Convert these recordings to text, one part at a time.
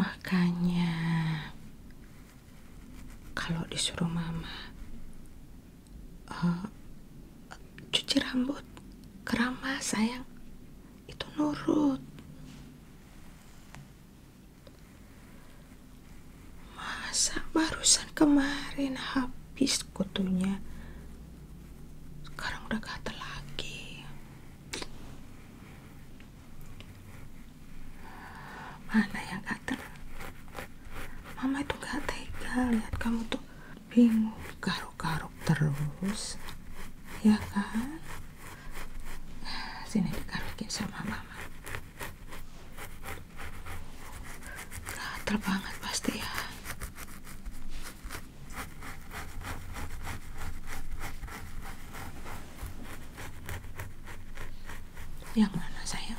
Makanya kalau disuruh mama uh, cuci rambut keramas sayang itu nurut masa barusan kemarin habis kutunya sekarang udah gatel lagi mana yang kater? mama itu gak tega lihat kamu tuh bingung garuk-garuk terus ya kan sini dikarukin sama mama kater banget pasti ya yang mana sayang?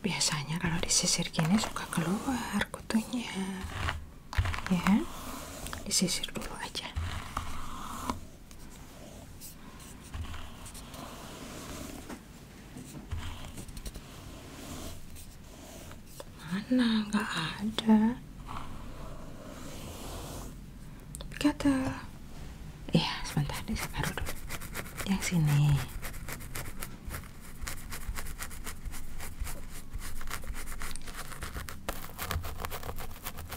Biasanya kalau sisir gini suka keluar kutunya. Ya. Disisir dulu aja mana enggak ada kata iya sebentar deh sekarang dulu yang sini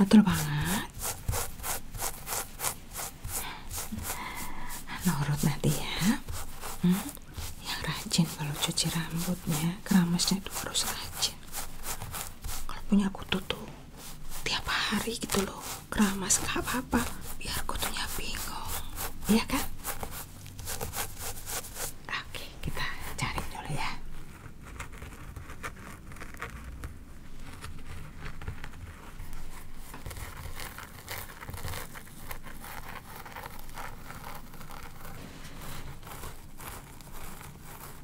Atur banget. Nurut nah, nanti ya. Hmm? Yang rajin kalau cuci rambutnya, keramasnya itu harus rajin kalau punya kutu tuh tiap hari gitu loh keramas gak apa-apa biar kutunya bingung iya kan oke kita cari dulu ya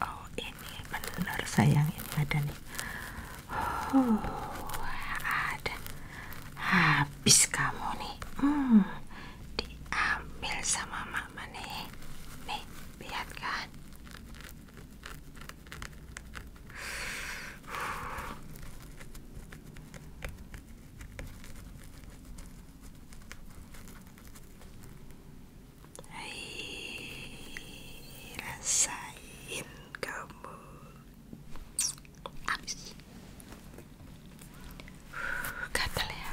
Oh ini bener sayang ini ada nih. Oh, ada. Habis kamu nih. Hmm, diambil sama mama nih. Nih lihat kan. Hei, rasain kamu habis uh, gatel ya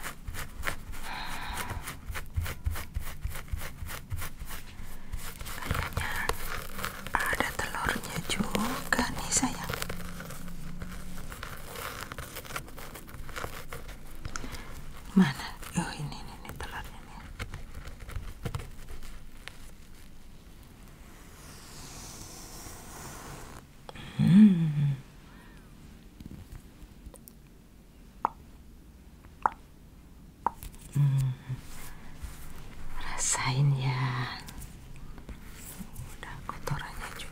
ada telurnya juga nih sayang Mana? Oh ini ini, ini telurnya nih. Hmm. Hmm. Rasain ya. Udah kotorannya juga.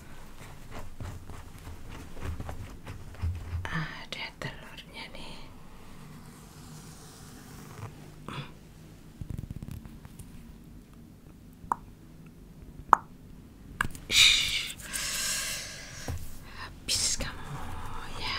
ada telurnya nih habis kamu ya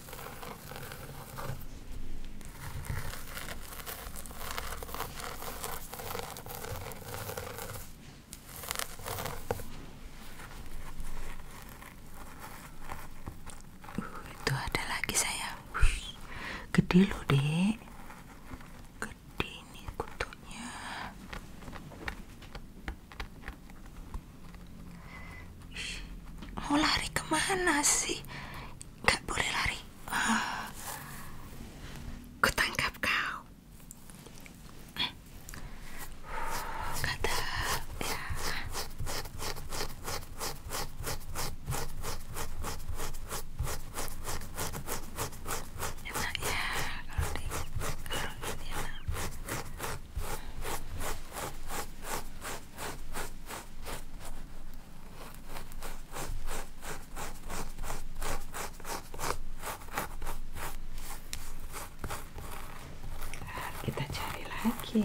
Uh, itu ada lagi sayang gede dek gede Mau lari kemana sih? Gak boleh lari. Eh, kutangkap kau. Kata ya. Ya, kita cari lagi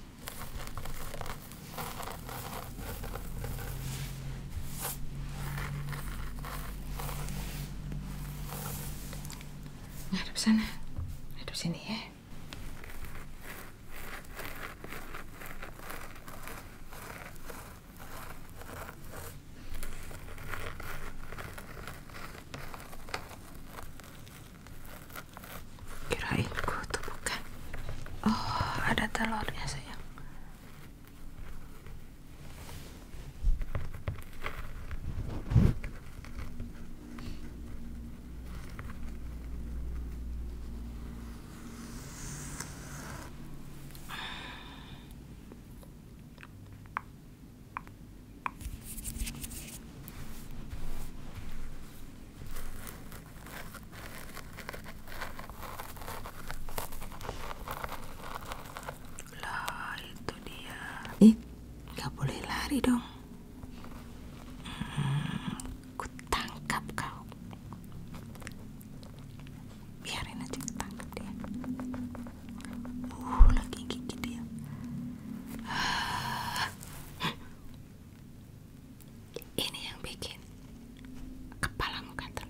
Ngadep sana. Ngadep sini ya kirain gue bukan oh ada telurnya sayang lah itu dia Ih gak boleh lari dong hmm, Ku kau Biarin aja ketangkap dia Uh lagi gigit dia ah ini yang bikin kepalamu gatel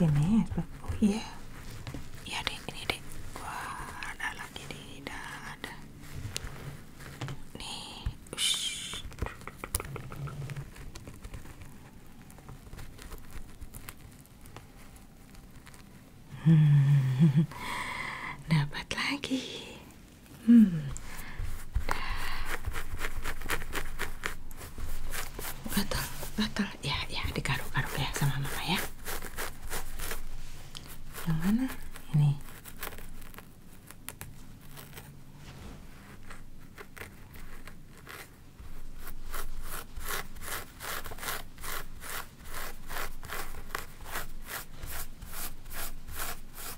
sini oh iya iya deh ini deh wah ada lagi deh ada ada nih Ush. hmm dapat lagi Hmm. Gatal, Ya, ya, digaruk-garuk ya sama mama ya. Yang mana? Ini.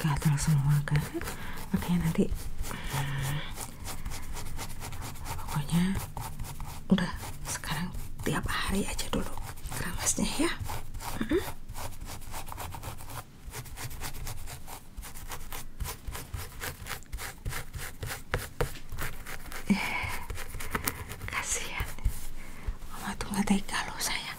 gatal semua kan makanya nanti pokoknya udah sekarang tiap hari aja dulu kramasnya ya mm kasihan mama tuh nggak tega loh sayang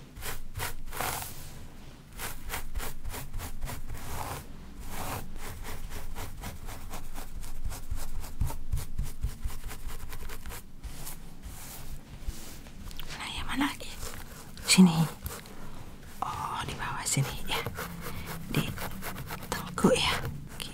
Nah, eh, sini. Oh, di bawah sini ya. Di tengku ya. Oke.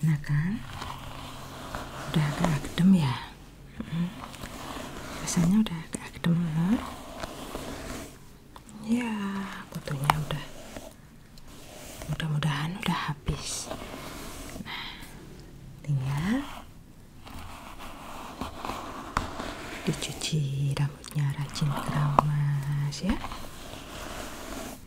Nah kan udah agak adem ya rasanya udah agak adem loh ya kutunya udah mudah-mudahan udah habis nah tinggal dicuci rambutnya rajin keramas ya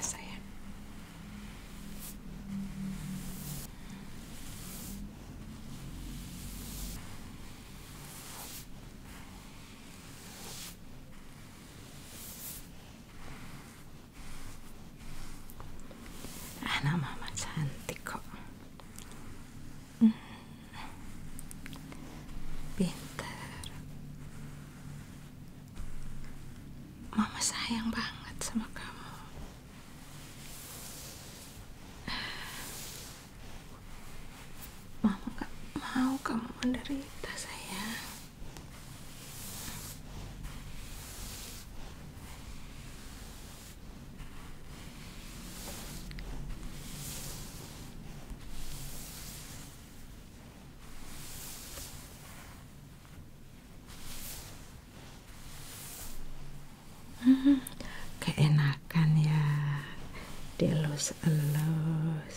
Sayang. Anak mama cantik kok. Pinter. Mama sayang banget sama kamu. Mama gak mau kamu menderita, sayang. Hmm, keenakan ya dielus-elus